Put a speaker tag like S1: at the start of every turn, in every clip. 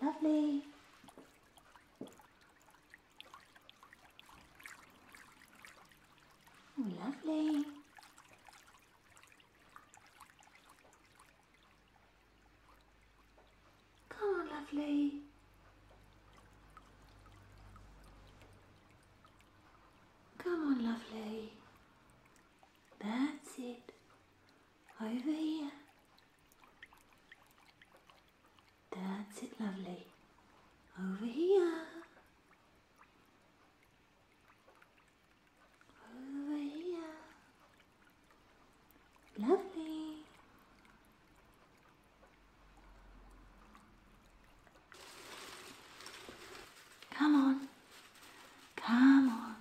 S1: Lovely. Oh, lovely. Come on, lovely. Come on, lovely. That's it. Over here. That's it, lovely. Over here. Over here. Lovely. Come on. Come on.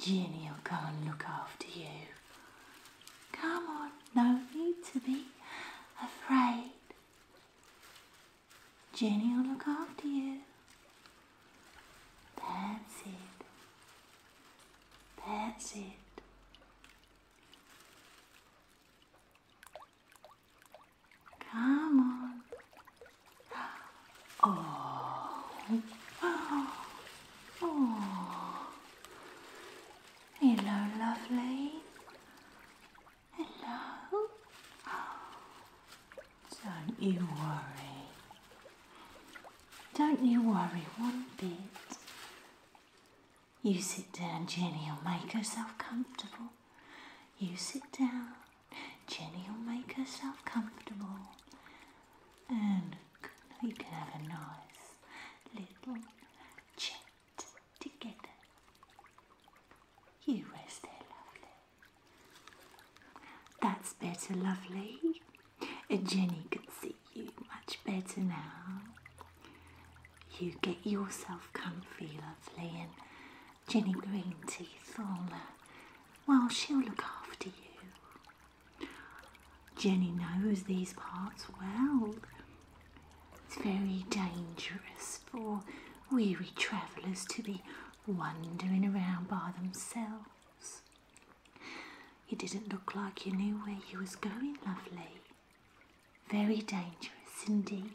S1: Ginny will come and look after you. Come on. No need to be afraid. Ginny will look after you. That's it. That's it. Come on. Oh. Oh. Hello, lovely. Hello. Don't you worry. Don't you worry one bit. You sit down, Jenny'll make herself comfortable. You sit down, Jenny'll make herself comfortable. And we can have a nice little chat together. You rest there, lovely. That's better, lovely. Jenny can see you much better now. You get yourself comfy, lovely, and Jenny Green Teeth will, uh, well, she'll look after you. Jenny knows these parts well. It's very dangerous for weary travellers to be wandering around by themselves. You didn't look like you knew where you was going, lovely. Very dangerous indeed.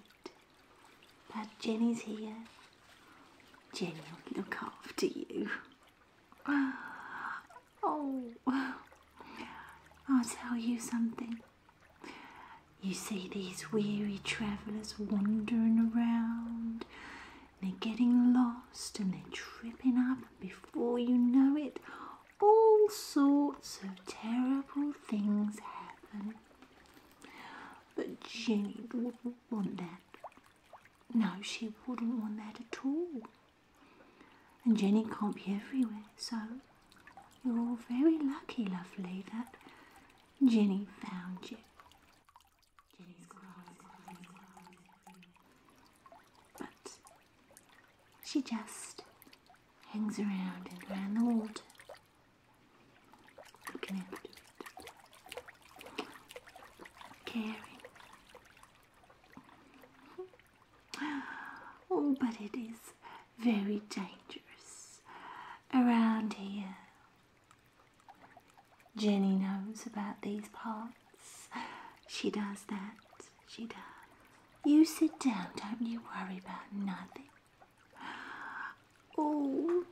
S1: But Jenny's here. Jenny will look after you. Oh, I'll tell you something. You see these weary travellers wandering around. They're getting lost and they're tripping up, and before you know it, all sorts of terrible things happen. But Jenny wouldn't want that. No, she wouldn't want that at all. And Jenny can't be everywhere, so you're all very lucky, lovely, that Jenny found you. She just hangs around and around the water, looking after caring. Oh, but it is very dangerous around here. Jenny knows about these parts. She does that she does. You sit down, don't you worry about nothing. Oh,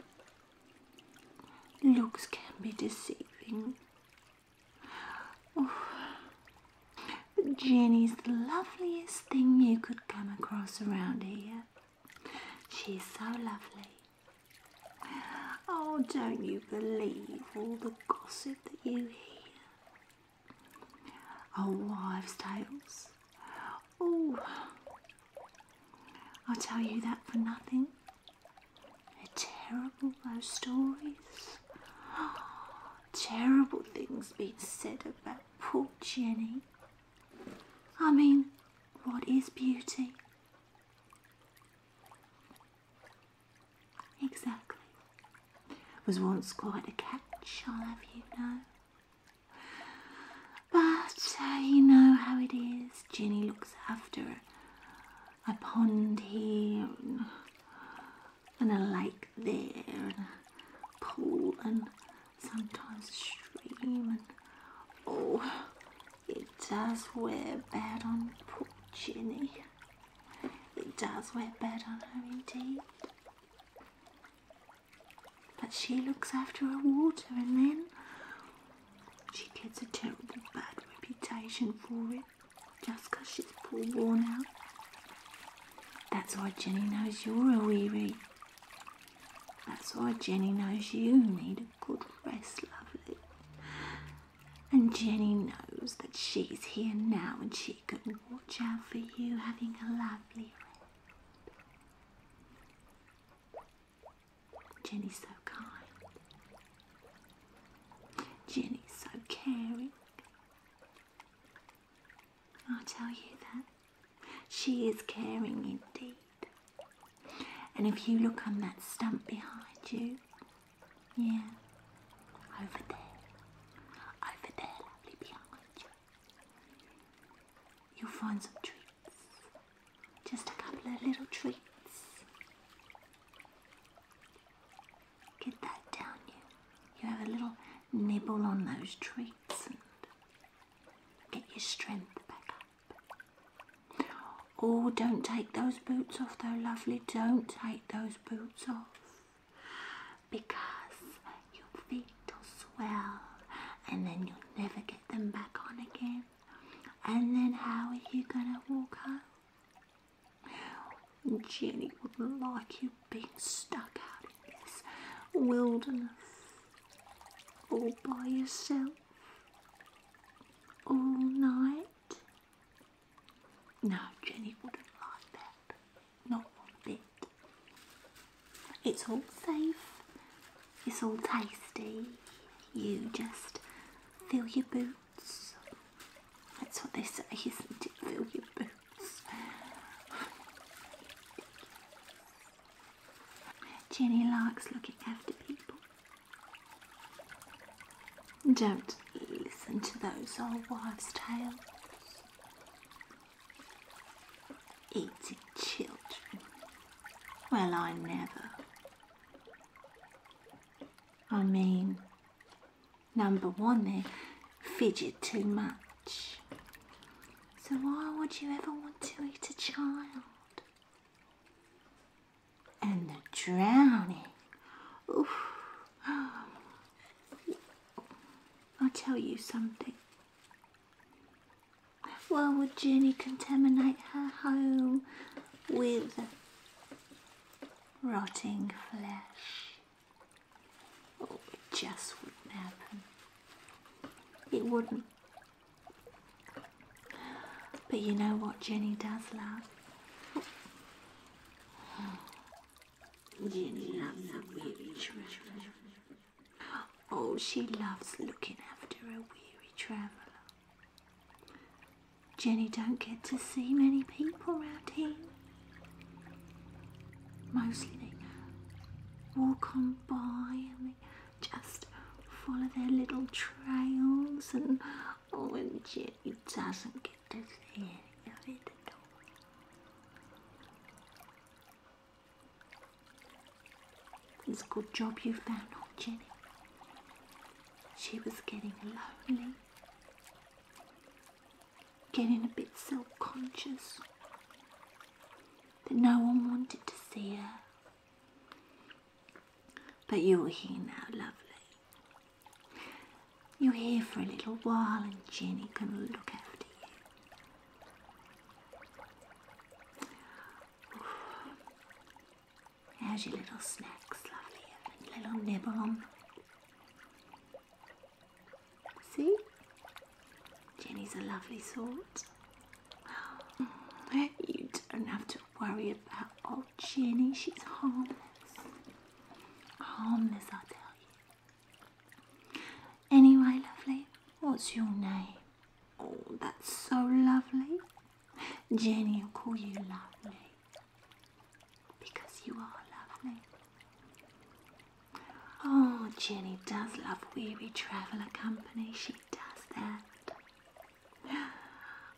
S1: looks can be deceiving. Oh, Jenny's the loveliest thing you could come across around here. She's so lovely. Oh, don't you believe all the gossip that you hear? Our wives' tales. Oh, I'll tell you that for nothing. terrible, those stories. terrible things being said about poor Jenny. I mean, what is beauty? Exactly was once quite a catch, I'll have you know. But uh, you know how it is. Jenny looks after it. a pond here and, and a lake there and a pool and sometimes stream and oh, it does wear bad on poor Jenny. It does wear bad on her indeed. But she looks after her water and then she gets a terrible bad reputation for it just because she's poor worn out. That's why Jenny knows you're a weary. That's why Jenny knows you need a good rest, lovely. And Jenny knows that she's here now and she watch out for you having a lovely Jenny's so kind. Jenny's so caring. I'll tell you that. She is caring indeed. And if you look on that stump behind you, yeah, over there, over there, lovely behind You'll find some treats. Just a couple of little treats. Get that down you. You have a little nibble on those treats and get your strength back up. Oh, don't take those boots off though, lovely. Don't take those boots off because your feet will swell and then you'll never get them back on again. And then how are you gonna walk home? Jenny wouldn't like you being stuck out in this wilderness all by yourself all night. No, Jenny wouldn't like that not one bit. It's all safe, it's all tasty. You just fill your boots. That's what they say, isn't it? Fill your boots. Jenny likes looking after people. Don't listen to those old wives' tales. Eating children. Well, I never. I mean, number one, they fidget too much. So why would you ever want to eat a child? And the drowning. Oof. I'll tell you something. Why would Jenny contaminate her home with rotting flesh? Oh, it just wouldn't happen. It wouldn't. But you know what Jenny does love? Jenny loves a weary traveler. Oh, she loves looking after a weary traveler. Jenny don't get to see many people round here. Mostly they walk on by and they just follow their little trails and oh and Jenny doesn't get Disney It's a good job you found old Jenny. She was getting lonely, getting a bit self conscious that no one wanted to see her. But you're here now, lovely. You're here for a little while and Jenny can look after you. How's your little snacks, lovely? A little nibble on See? Jenny's a lovely sort. Mm, you don't have to worry about old Jenny, she's harmless. Harmless, I tell you. Anyway, lovely, what's your name? Oh, that's so lovely. Jenny will call you lovely because you are lovely. Oh, Jenny does love weary traveller company. She does that.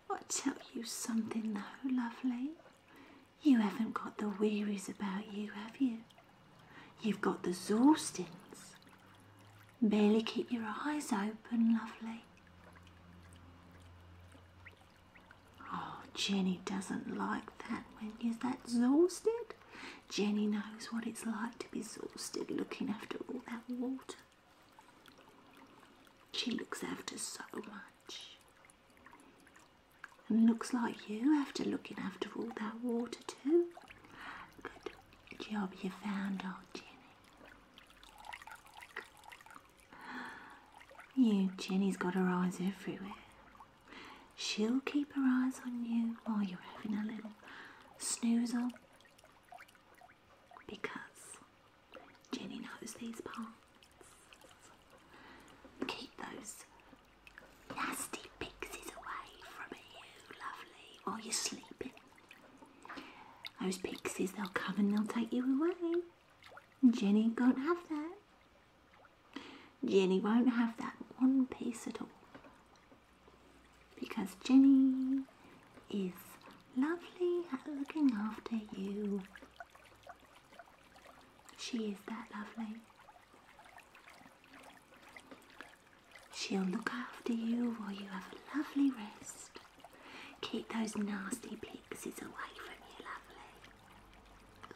S1: I'll tell you something though, lovely. You haven't got the wearies about you, have you? You've got the Zorstins. Barely keep your eyes open, lovely. Oh, Jenny doesn't like that when you're that exhausted. Jenny knows what it's like to be exhausted looking after all that water. She looks after so much. And looks like you, after looking after all that water too. Good job you found old Jenny. You, Jenny's got her eyes everywhere. She'll keep her eyes on you while you're having a little snoozle. Because Jenny knows these parts. Keep those nasty pixies away from you, lovely, while you're sleeping. Those pixies, they'll come and they'll take you away. Jenny won't have that. Jenny won't have that one piece at all. Because Jenny is lovely looking after you she is that lovely. She'll look after you while you have a lovely rest. Keep those nasty pixies away from you, lovely.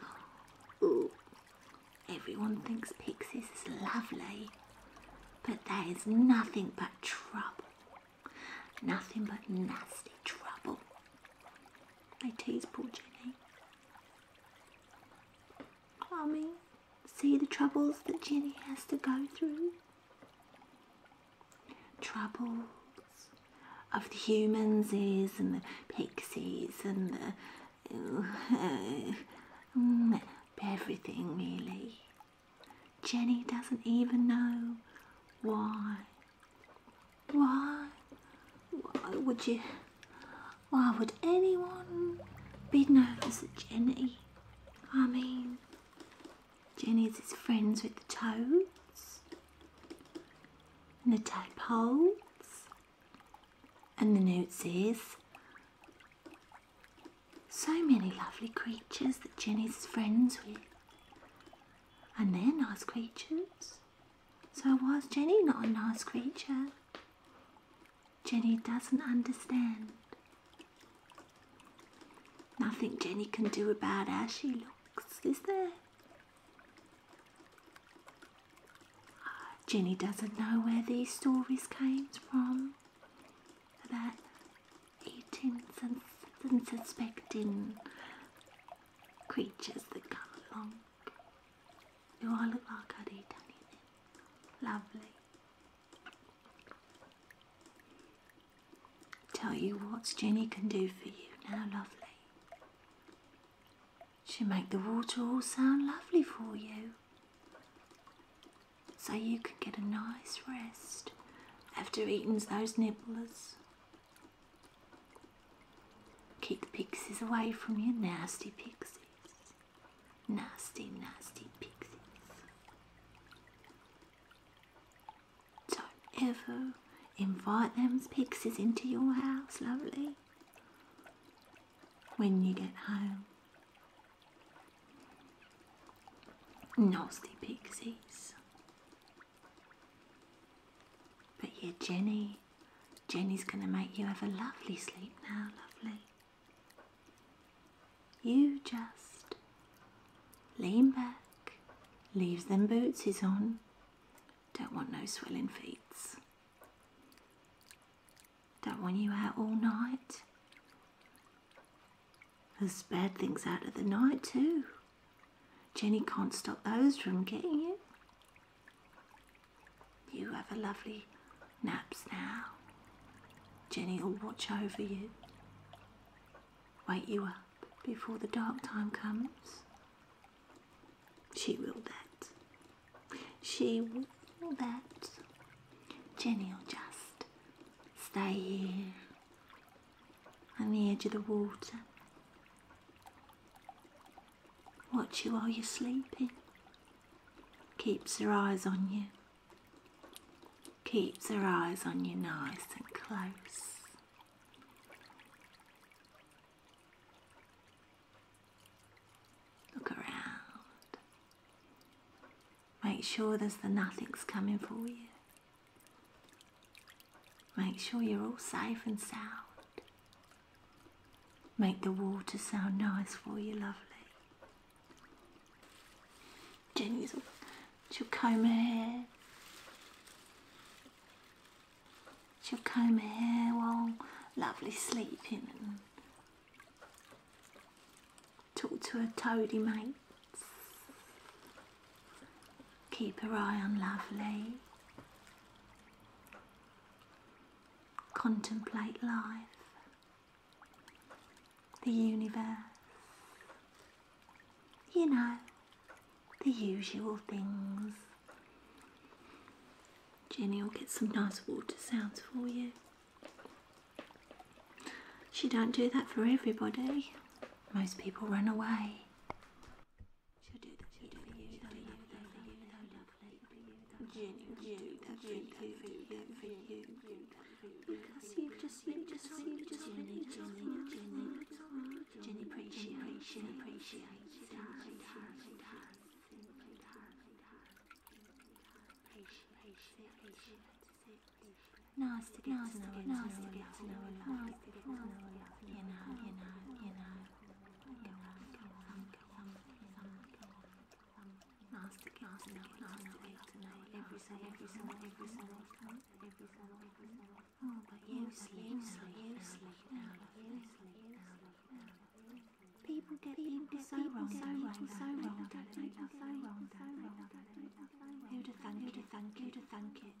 S1: Oh, ooh. Everyone thinks pixies is lovely, but there is nothing but trouble. Nothing but nasty trouble. They tease poor Jenny. Mommy, see the troubles that Jenny has to go through? Troubles of the humans is and the pixies and mm, everything really. Jenny doesn't even know why why? would you? Why would anyone be nervous at Jenny? I mean, Jenny's is friends with the toads and the tadpoles and the newtsies. So many lovely creatures that Jenny's friends with. And they're nice creatures. So was Jenny not a nice creature? Jenny doesn't understand. Nothing Jenny can do about how she looks, is there? Jenny doesn't know where these stories came from about eating and suspecting creatures that come along. You I look like I'd Lovely. Tell you what Jenny can do for you now, lovely. She'll make the water all sound lovely for you. So you can get a nice rest after eating those nibblers. Kick pixies away from you, nasty pixies. Nasty, nasty pixies. Don't ever invite them pixies into your house, lovely, when you get home. Nasty pixies. But yeah, Jenny, Jenny's going to make you have a lovely sleep now, lovely. You just lean back, leaves them bootsies on. Don't want no swelling feet. Don't want you out all night. There's bad things out of the night too. Jenny can't stop those from getting you. You have a lovely naps now. Jenny will watch over you, wake you up before the dark time comes. She will that. She will that. Jenny will just stay here on the edge of the water watch you while you're sleeping, keeps her eyes on you, keeps her eyes on you nice and close. Look around. Make sure there's the nothings coming for you. Make sure you're all safe and sound. Make the water sound nice for you, lovely. Jenny's all, she'll comb her hair. She'll comb her hair while lovely sleeping and talk to her toady mates. Keep your eye on lovely. Contemplate life, the universe, you know, the usual things. Jenny will get some nice water sounds for you. She don't do that for everybody. Most people run away. She'll do that. She'll do it. She'll do that. She'll do that. Jenny, Jenny, that for you. That for you. Because you just, you just, you just, Jenny, Jenny, Jenny, Jenny, appreciate, Jenny, appreciate, Jenny, appreciate, Nice to get nice to know, nice to get to know, nice to get to know, you know, you know, you know. Last last now, last now, every single, every single, every single, every single, every single. Oh, but you sleep, sleep, sleep, out of you sleep, out of you. People get people so wrong, so wrong, so wrong, so wrong, so wrong, so wrong. Who'd have thunk it, who'd have thunk it, who'd have thunk it.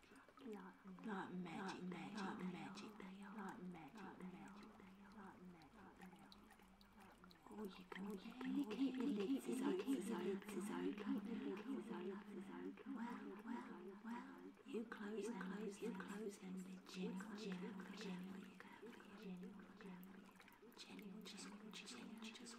S1: magic, not not magic, magic, magic, not magic, magic, not magic. Oh, you can, you can, you can, you can, you can, you can, you can, you can, Well, well, well, you close, close, you close, and the gin, gin, gin, gin, gin, gin, just, just, just, just.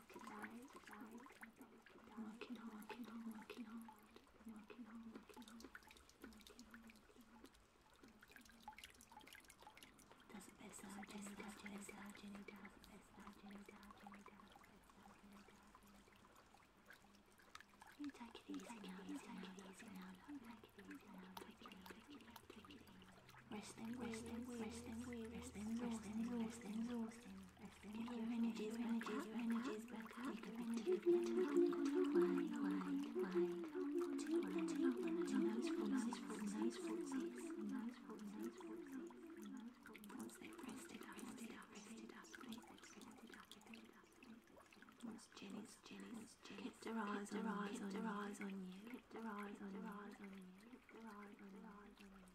S1: Keep going, keep going. Working hard, keep on working hard. Working hard, working hard. Working hard. Does the best that Jenny does, Jenny does, Jenny does, the best that Jenny does, Jenny does, the best that Jenny does, Jenny does. You take it easy now, you take it easy now, you take it easy now, take it easy, take it easy resting, resting, resting, resting, resting, resting, resting. Get your energies, your energies, your energies back up. Take a big deep wide, wide, wide. Two, two, two, nice, nice, nice, nice, nice. Once they've rested up, rested up, rested up, rested up, rested up. Once Jenny's, Jenny's, Jenny's. Kept her eyes, her eyes, her eyes on you. Kept her eyes, her eyes on you. Kept her eyes, her eyes on you.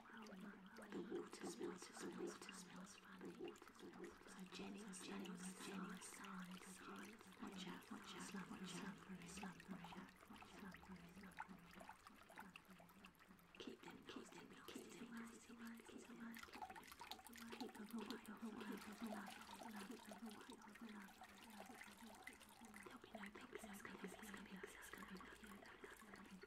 S1: The water smells funny. The water smells funny. The water smells funny. So Jenny, Jenny, Jenny, side, side. Watch out, watch out, slumber, slumber, slumber, slumber. Keep them, keep them, keep them away, away, keep them away. Keep them away, keep them away, keep them away, keep them away, keep them away. There'll be no pigs, there's gonna be pigs, there's gonna be pigs, there's gonna be pigs.